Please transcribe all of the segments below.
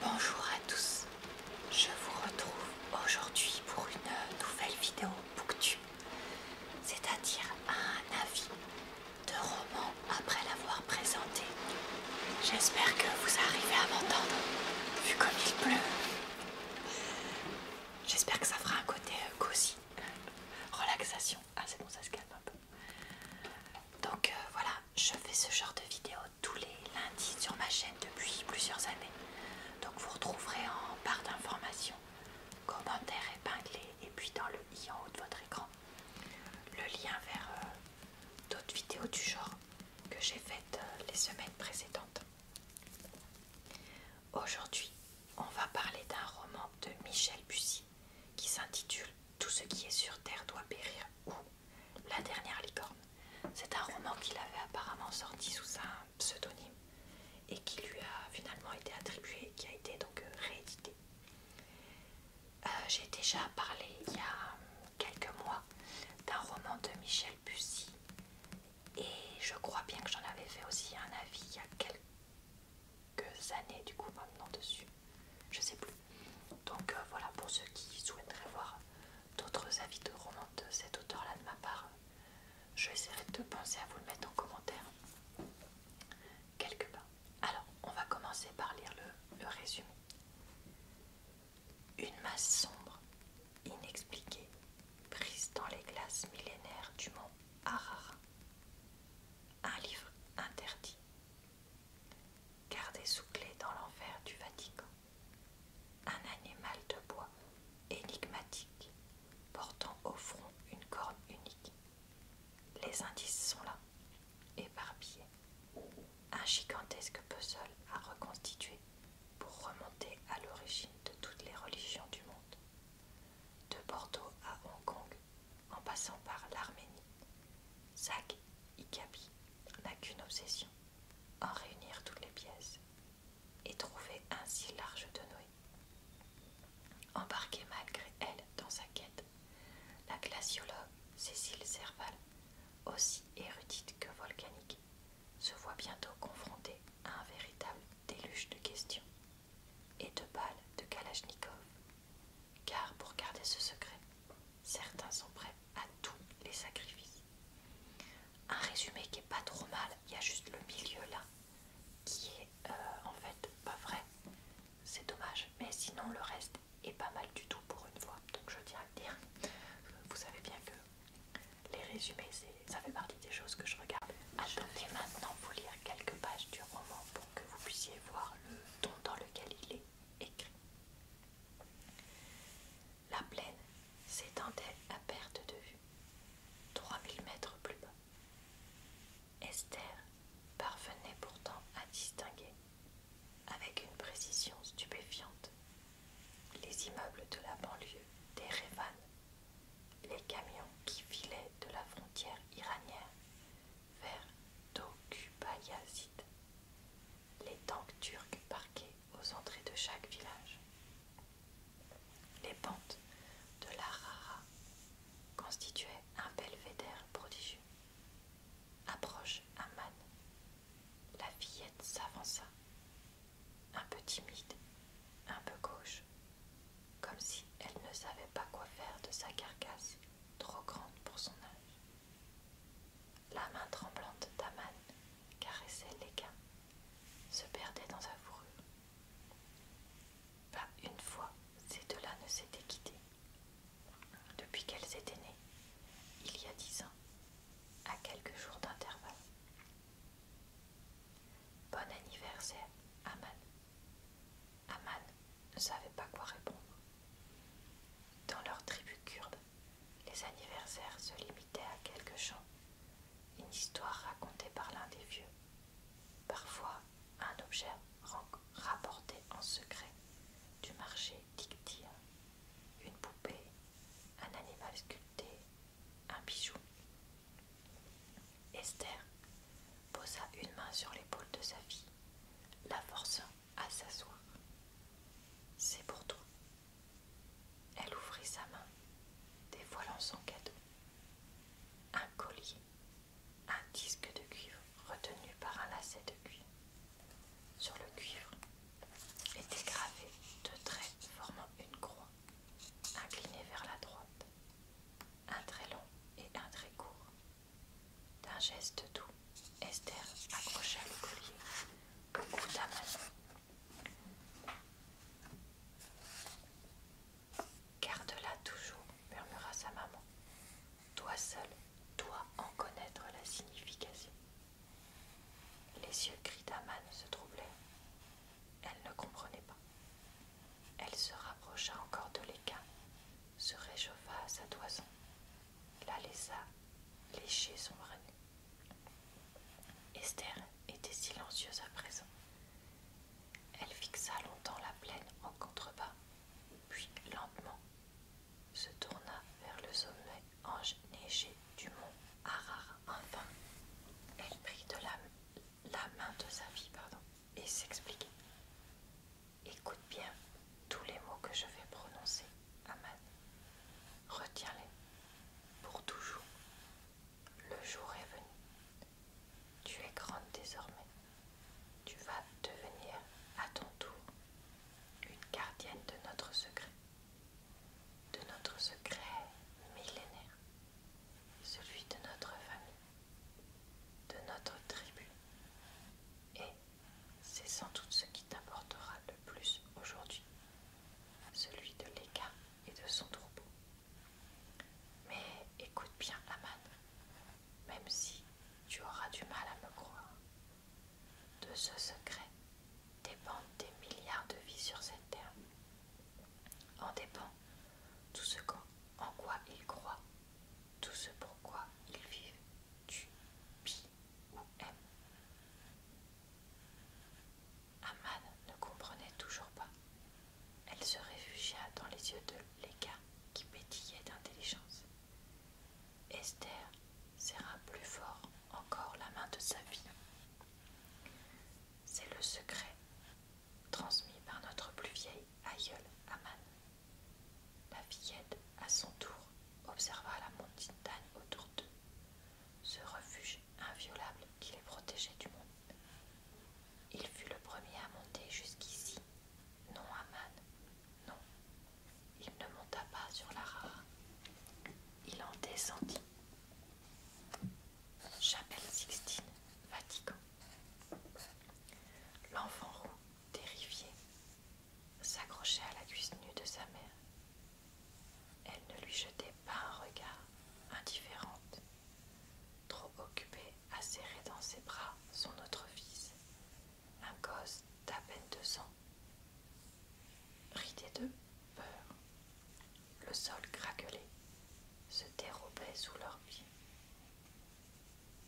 Bonjour à tous, je vous retrouve aujourd'hui pour une nouvelle vidéo Booktube, c'est-à-dire un avis de roman après l'avoir présenté. J'espère que vous arrivez à m'entendre, vu comme il pleut. J'espère que ça fera un côté euh, cosy, relaxation. Ah c'est bon, ça se calme un peu. Donc euh, voilà, je fais ce genre de vidéos tous les lundis sur ma chaîne depuis plusieurs années. Donc vous retrouverez en barre d'informations, commentaires épinglés et puis dans le i en haut de votre écran, le lien vers euh, d'autres vidéos du genre que j'ai faites euh, les semaines précédentes. Aujourd'hui, on va parler d'un roman de Michel Bussy qui s'intitule Tout ce qui est sur terre doit périr ou la dernière licorne. C'est un roman qu'il avait apparemment sorti sous un pseudonyme et qui lui a finalement été attribué, qui a été donc euh, réédité. Euh, j'ai déjà parlé il y a quelques mois d'un roman de Michel Bussy et je crois bien que j'en avais fait aussi un avis il y a quelques années du coup maintenant dessus je sais plus. Donc euh, voilà, pour ceux qui souhaiteraient voir d'autres avis de romans de cet auteur-là de ma part, je essaierai de penser à vous le mettre en commentaire quelque part. Alors, on va commencer par lire le, résumé. Une masse sombre, inexpliquée, prise dans les glaces millénaires du mont Arara. Un livre interdit, gardé sous clé dans l'enfer du Vatican. Un animal de bois énigmatique, portant au front une corne unique. Les indices sont là, éparpillés. Un gigantesque puzzle à reconstituer pour remonter à l'origine de toutes les religions du monde. De Bordeaux à Hong Kong, en passant par l'Arménie. Zach Ikabi n'a qu'une obsession, en réunir toutes les pièces et trouver ainsi l'arche de Noé. Embarquée malgré elle dans sa quête, la glaciologue Cécile Serval, aussi érudite que volcanique, se voit bientôt confrontée à un véritable déluge de questions et de balles de Kalachnikov car pour garder ce secret, certains sont prêts à tous les sacrifices. Un résumé qui est pas trop mal, il y a juste le milieu là qui est euh, en fait pas vrai. C'est dommage, mais sinon le reste est pas mal du tout pour une fois. Donc je tiens à le dire. Vous savez bien que les résumés, ça fait partie des choses que je regarde. je vais maintenant vous lire quelques pages du roman pour que vous puissiez voir le dont dans lequel il écrit. La plaine s'étendait à perte de vue, 3000 mètres plus bas. Esther parvenait pourtant à distinguer, avec une précision stupéfiante, les immeubles de la banlieue d'Erevan, les camions qui filaient de la frontière iranienne vers Dokubayazid, les tanks turcs parqués aux entrées de chaque village. Les pentes de la Rara constituaient un belvédère prodigieux. Approche Amman, la fillette s'avança, un peu timide, un peu gauche, comme si elle ne savait pas quoi faire de sa carcasse trop grande pour son âge. La main tremblante d'Aman caressait les l'équin, se perdait dans sa fourrure. Pas une fois ces deux-là ne s'étaient quittés. Depuis qu'elles étaient nées, il y a dix ans, à quelques jours d'intervalle. Bon anniversaire, Aman ne savaient pas quoi répondre. Dans leur tribu kurde, les anniversaires se limitaient à quelques chants, une histoire racontée par l'un des vieux, parfois un objet rapporté en secret du marché d'Iktia, une poupée, un animal sculpté, un bijou. Esther posa une main sur l'épaule de sa fille, la forçant à s'asseoir. C'est pour toi. Elle ouvrit sa main, dévoilant son cadeau. Un collier, un disque de cuivre retenu par un lacet de cuivre. Sur le cuivre était gravé deux traits formant une croix, inclinée vers la droite un très long et un très court. D'un geste doux, Esther accrocha le collier au cou Garde-la toujours, murmura sa maman. Toi seul dois en connaître la signification. Les yeux gris d'Aman se troublaient. Elle ne comprenait pas. Elle se rapprocha encore de l'équin, se réchauffa à sa toison, la laissa lécher son nu. Esther était silencieuse à présent. Elle fixa longtemps la plaine en contrebas, puis lentement se tourna vers le sommet enneigé du mont Harare. Enfin, elle prit de l'âme la main de sa vie, pardon, et s'expliquer. Écoute bien tous les mots que je vais prononcer, Aman. Retiens-les pour toujours. Le jour est venu. Tu es grande désormais. Tu vas devenir à ton tour une gardienne de notre secret, de notre secret millénaire celui de notre famille, de notre tribu. Et c'est sans doute ce qui t'apportera le plus aujourd'hui, celui de l'Eka et de son troupeau. Mais écoute bien, Aman, même si tu auras du mal à me croire, de ce secret dépendent des milliards de vies sur cette terre. En dépend tout ce en quoi ils croient, tout ce pourquoi ils vivent, tu, pis ou aimes. Aman ne comprenait toujours pas. Elle se réfugia dans les yeux de l'égard qui pétillait d'intelligence. Esther serra plus fort encore la main de sa vie. C'est le secret transmis par notre plus vieille aïeul Aman. La fillette, à son tour, observa la montagne autour d'eux, ce refuge inviolable qui les protégeait du monde. Il fut le premier à monter jusqu'ici. Non, Aman, non, il ne monta pas sur la rare il en descendit. Chapelle Sixtine, Vatican. L'enfant roux, terrifié, s'accrochait à la cuisse nue de sa mère. Elle ne lui jetait pas un regard, indifférente, trop occupée à serrer dans ses bras son autre fils, un gosse d'à peine deux ans. Ridé d'eux, le sol craquelait, se dérobait sous leurs pieds.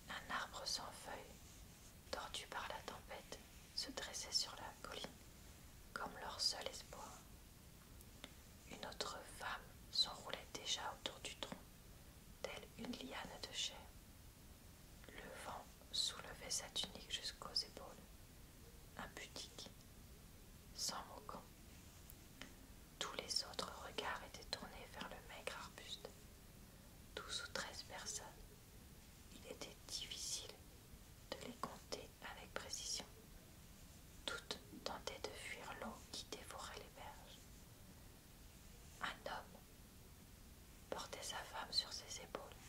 Un arbre sans feuilles, tordu par la tempête, se dressait sur la colline comme leur seul espoir. Une autre femme s'enroulait déjà autour du tronc, telle une liane de chair. Le vent soulevait sa tunique jusqu'aux épaules un boutique sans moquant. Tous les autres regards étaient tournés vers le maigre arbuste. Douze ou treize personnes. Il était difficile de les compter avec précision. Toutes tentaient de fuir l'eau qui dévorait les berges. Un homme portait sa femme sur ses épaules,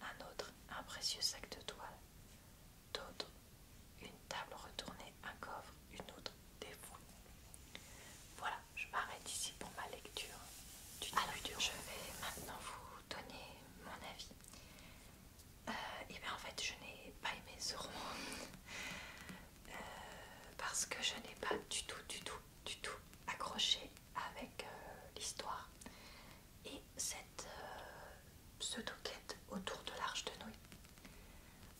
un autre un précieux sac de toile, d'autres une table retournée, un coffre, une autre des Voilà, je m'arrête ici pour ma lecture. Du je vais maintenant vous donner mon avis. Euh, et bien en fait, je n'ai pas aimé ce roman euh, parce que je n'ai pas du tout, du tout, du tout accroché avec euh, l'histoire et cette pseudo autour de l'arche de Noé.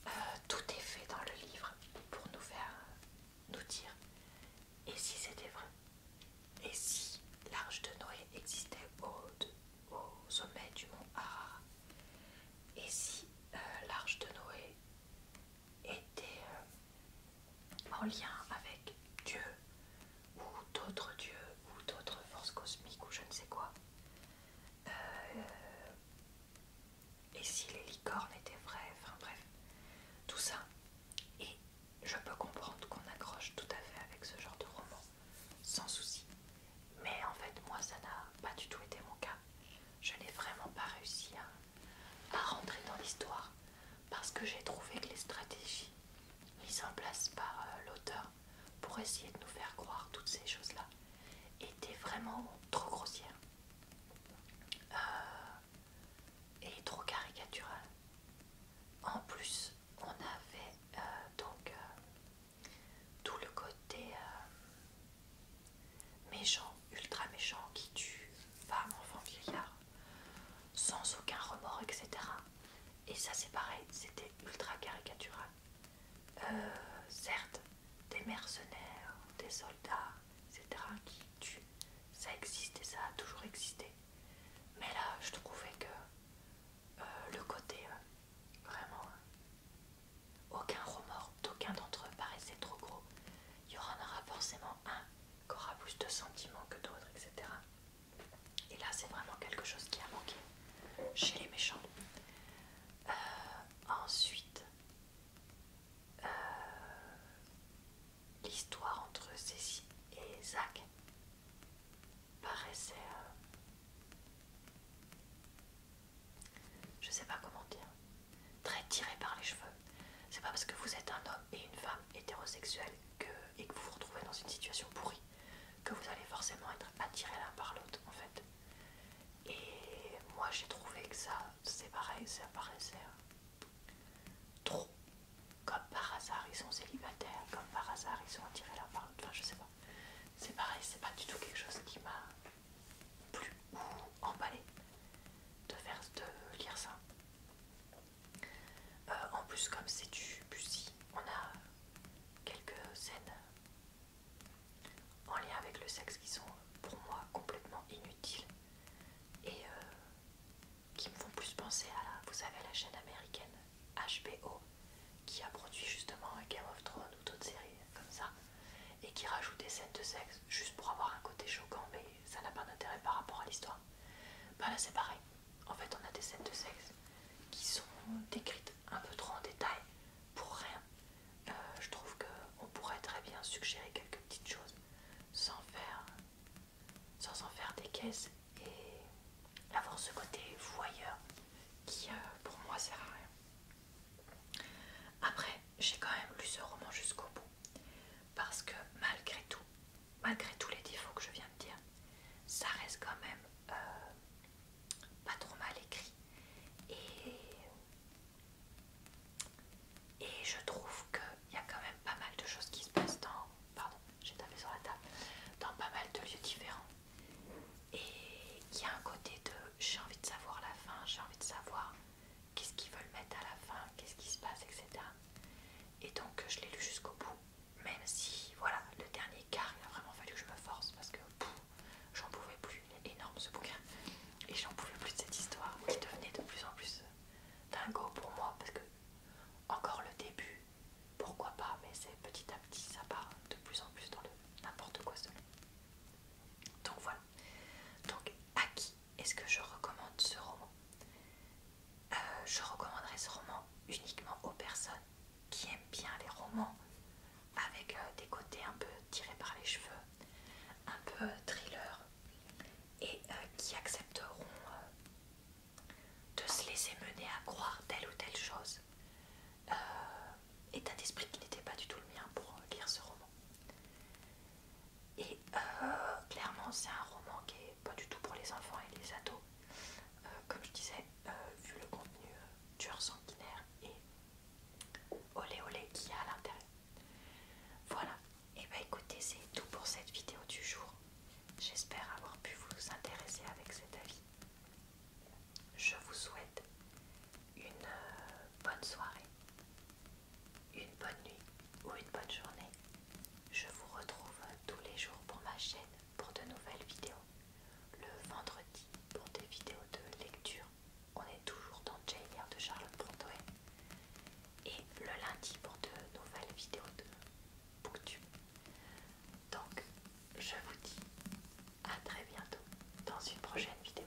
Euh, tout est fait dans le livre pour nous faire euh, nous dire et si c'était vrai, et si l'arche de Noé existait au, sommet du mont Arara, et si euh, l'arche de Noé était en lien avec Dieu ou d'autres dieux ou d'autres forces cosmiques ou je ne sais quoi. Euh, et si les licornes étaient vraies, enfin bref, tout ça. Et je peux comprendre qu'on accroche tout à fait avec ce genre de roman, sans souci. Mais en fait, moi, ça n'a pas du tout été mon cas. Je n'ai vraiment pas réussi à rentrer dans l'histoire, parce que j'ai trouvé que les stratégies mises en place par euh, l'auteur pour essayer de nous faire croire toutes ces choses-là étaient vraiment trop grossières euh, et trop caricaturales. En plus, on avait euh, donc tout le côté méchant, ultra méchant, qui tue femme, enfant, vieillard, sans aucun remords, etc. Et ça, c'est pareil, c'était ultra caricatural. Euh, certes, des mercenaires, des soldats, etc., qui tuent, ça existe et ça a toujours existé. Mais là, je trouvais que euh, le côté euh, vraiment. Aucun remords d'aucun d'entre eux paraissait trop gros. Il y en aura forcément un qui aura plus de sentiments que d'autres, etc. Et là, c'est vraiment quelque chose qui a manqué chez les méchants. Euh, ensuite, euh, l'histoire entre Cécile et Zach paraissait. Euh, je sais pas comment dire. Très tirée par les cheveux. C'est pas parce que vous êtes un homme et une femme hétérosexuels, et que vous vous retrouvez dans une situation pourrie, que vous allez forcément être attiré l'un par l'autre en fait. Et moi j'ai trouvé que ça, c'est pareil, ça paraissait euh, trop. Comme par hasard ils sont célibataires, comme par hasard ils sont attirés l'un par l'autre, enfin je sais pas. C'est pareil, c'est pas du tout quelque chose qui m'a plu ou emballé de faire de lire ça. Euh, en plus, comme c'est du pussy, on a quelques scènes en lien avec le sexe qui sont pour moi complètement inutiles et euh, qui me font plus penser à, la, vous savez, la chaîne américaine HBO qui a produit justement Game of Thrones ou d'autres séries comme ça et qui rajoute des scènes de sexe juste pour avoir un côté choquant mais ça n'a pas d'intérêt par rapport à l'histoire bah là c'est pareil. En fait on a des scènes de sexe qui sont décrites un peu trop en détail pour rien. Euh, je trouve qu'on pourrait très bien suggérer quelques petites choses sans sans en faire des caisses et avoir ce côté voyeur qui euh, pour moi sert à rien. Après j'ai quand même lu ce roman jusqu'au bout parce que malgré tout malgré tous les défauts que je viens de dire, ça reste quand même euh, pas trop mal écrit. Et, je trouve qu'il y a quand même pas mal de choses qui se passent dans... la table. Dans pas mal de lieux différents. Et qu'il y a un côté de j'ai envie de savoir la fin, j'ai envie de savoir qu'est-ce qu'ils veulent mettre à la fin, qu'est-ce qui se passe, etc. Et donc je l'ai lu jusqu'au bout, même si voilà, le dernier quart, il a vraiment fallu que je me force parce que j'en pouvais plus, il énorme ce bouquin, et j'en pouvais plus de cette histoire qui devenait de plus en plus euh, dingo pour moi parce que encore le début, pourquoi pas, mais c'est petit à petit, ça part de plus en plus dans le n'importe quoi selon Donc voilà, donc, à qui est-ce que je recommande ce roman euh, Je recommanderais ce roman uniquement aux personnes qui aiment bien les romans avec euh, des côtés un peu tirés par les cheveux, un peu euh, thriller, et qui accepteront de se laisser mener à croire telle ou telle chose. Euh, état d'esprit qui n'était pas du tout le mien pour lire ce roman. Et euh, clairement, c'est un roman qui n'est pas du tout pour les enfants et les ados. Euh, comme je disais, euh, vu le contenu dur, sanguinaire et olé olé qui y a à l'intérieur. Voilà, et eh bah ben, écoutez, c'est tout pour cette vidéo du jour. J'espère avoir pu vous intéresser avec cet avis. Je vous souhaite une bonne soirée une bonne nuit ou une bonne journée. Je vous retrouve tous les jours pour ma chaîne pour de nouvelles vidéos. Le vendredi pour des vidéos de lecture, on est toujours dans JR de Charlotte Brontoé. Et le lundi pour de nouvelles vidéos de Booktube. Donc, je vous dis à très bientôt dans une prochaine vidéo.